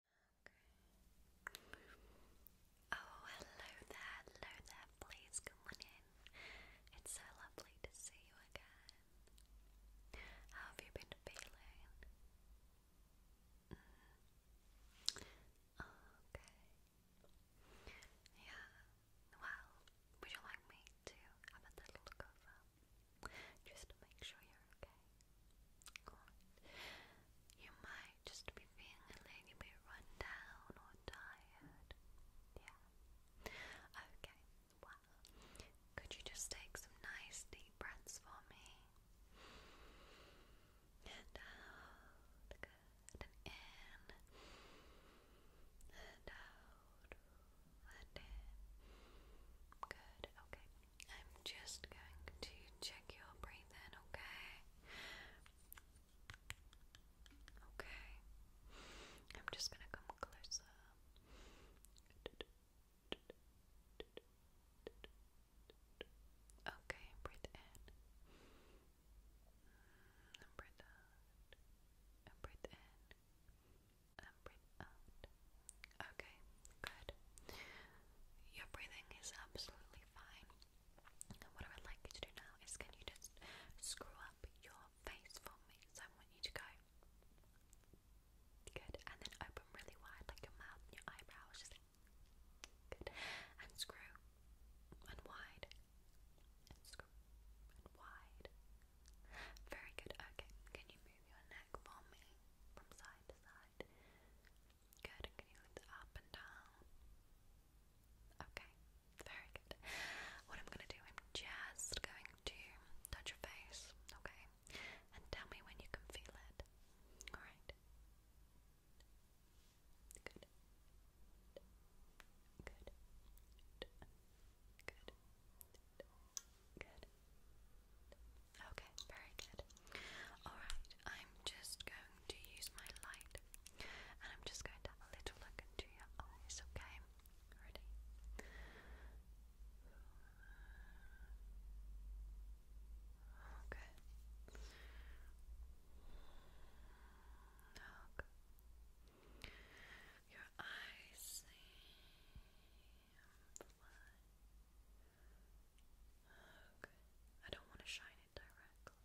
Oh, hello there, hello there, please come on in. It's so lovely to see you again. How have you been feeling? Mm. Okay. Yeah, well, would you like me to have a little look over? Just make sure you're okay. You might just be feeling a little bit run down or tired. Yeah. Okay. Well, could you just take some nice deep breaths for me? And out, uh, good, and in, and out, and in. Good, okay. I'm just going to check your breathing, okay? Okay. I'm just going to come closer. Okay, breathe in. breathe out. breathe in. breathe out. Okay, Good. Your breathing is absolutely fine. And what I would like you to do now is can you just screw up your face for me? So I want you to go. Good. And then open really wide, like your mouth your eyebrows. Just good. And screw. And wide. And screw. And wide. Very good. Okay. Can you move your neck for me? From side to side. Good, I'm lift up and down. Okay, very good. What I'm gonna do, I'm just going to touch your face, okay? And tell me when you can feel it. Alright. Good. Good. Good. Good. Good. Okay, very good. Alright, I'm just going to use my light and I'm just going to have a little look into your eyes, okay? Ready? Okay. Okay. Your eyes seem apply. Okay. I don't want to shine it directly.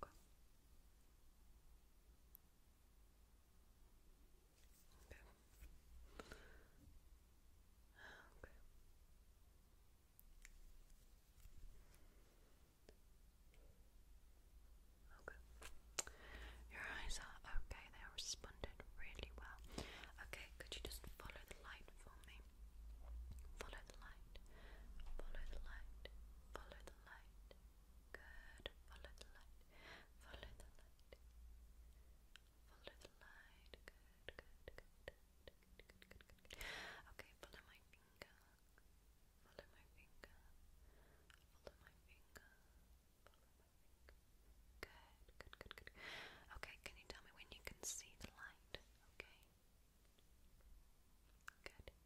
Okay. Okay. Okay. Your eyes are okay, they responded really well. Okay, could you just follow the light for me? way. Follow the light. Follow the light. Follow the light. Good. Follow the light. Follow the light. Follow the light. good. Good, good, good, good, good. Okay, follow my finger. Follow my finger. Follow my finger. Follow my finger. Good, good, good, good. Okay, can you tell me when you can see the light? mind, okay? Good. Good. Good.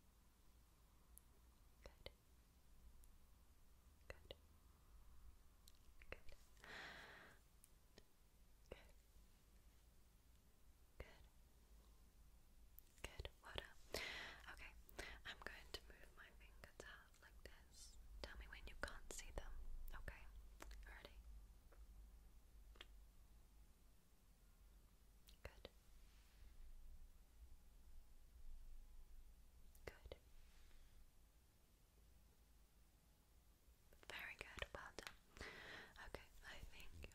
Good. Good. Good. Good. What Okay, I'm going to move my fingers out like this. Tell me when you can't see them, okay? Ready? Good. Good. Very good. Well done. Okay, I think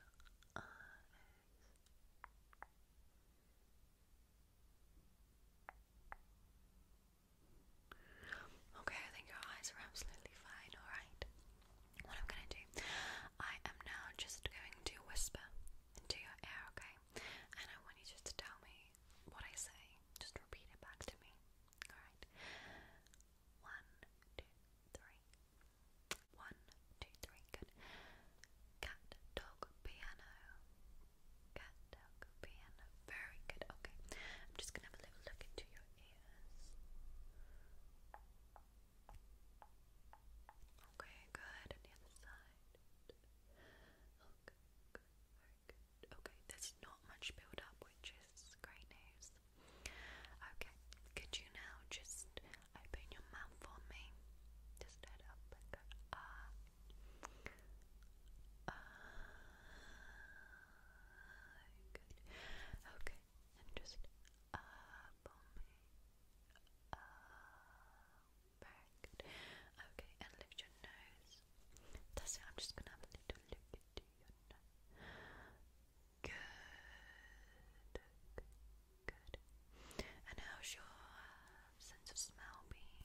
Okay, I think your eyes are absolutely fine, alright? What I'm gonna do, I am now just going to whisper into your ear, okay? And I want you just to tell me what I say. Just repeat it back to me, alright? One, two, three. One, two, three, good. Cat, dog, piano. Cat, dog, piano. Very good, okay. I'm just gonna have a little look into your Okay, good. And the other side. Okay, there's not much build which is great news. Okay, could you now just open your mouth for me? Just head up and ah. good. Okay, and just up on Okay, and lift your nose. That's it, I'm just gonna have a little look into your nose. Good, good. And how's your sense of smell been?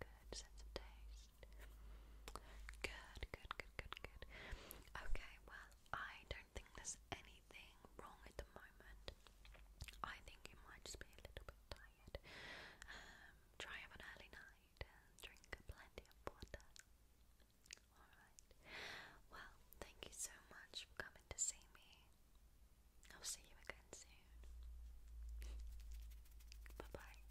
Good, sense of taste. Good, good, good, good, good. Okay, well, I don't think there's anything wrong at the moment. I think you might just be a little bit tired. Um, try have an early night and drink plenty of water. Alright. Well, thank you so much for coming to see me. I'll see you again soon. Bye bye.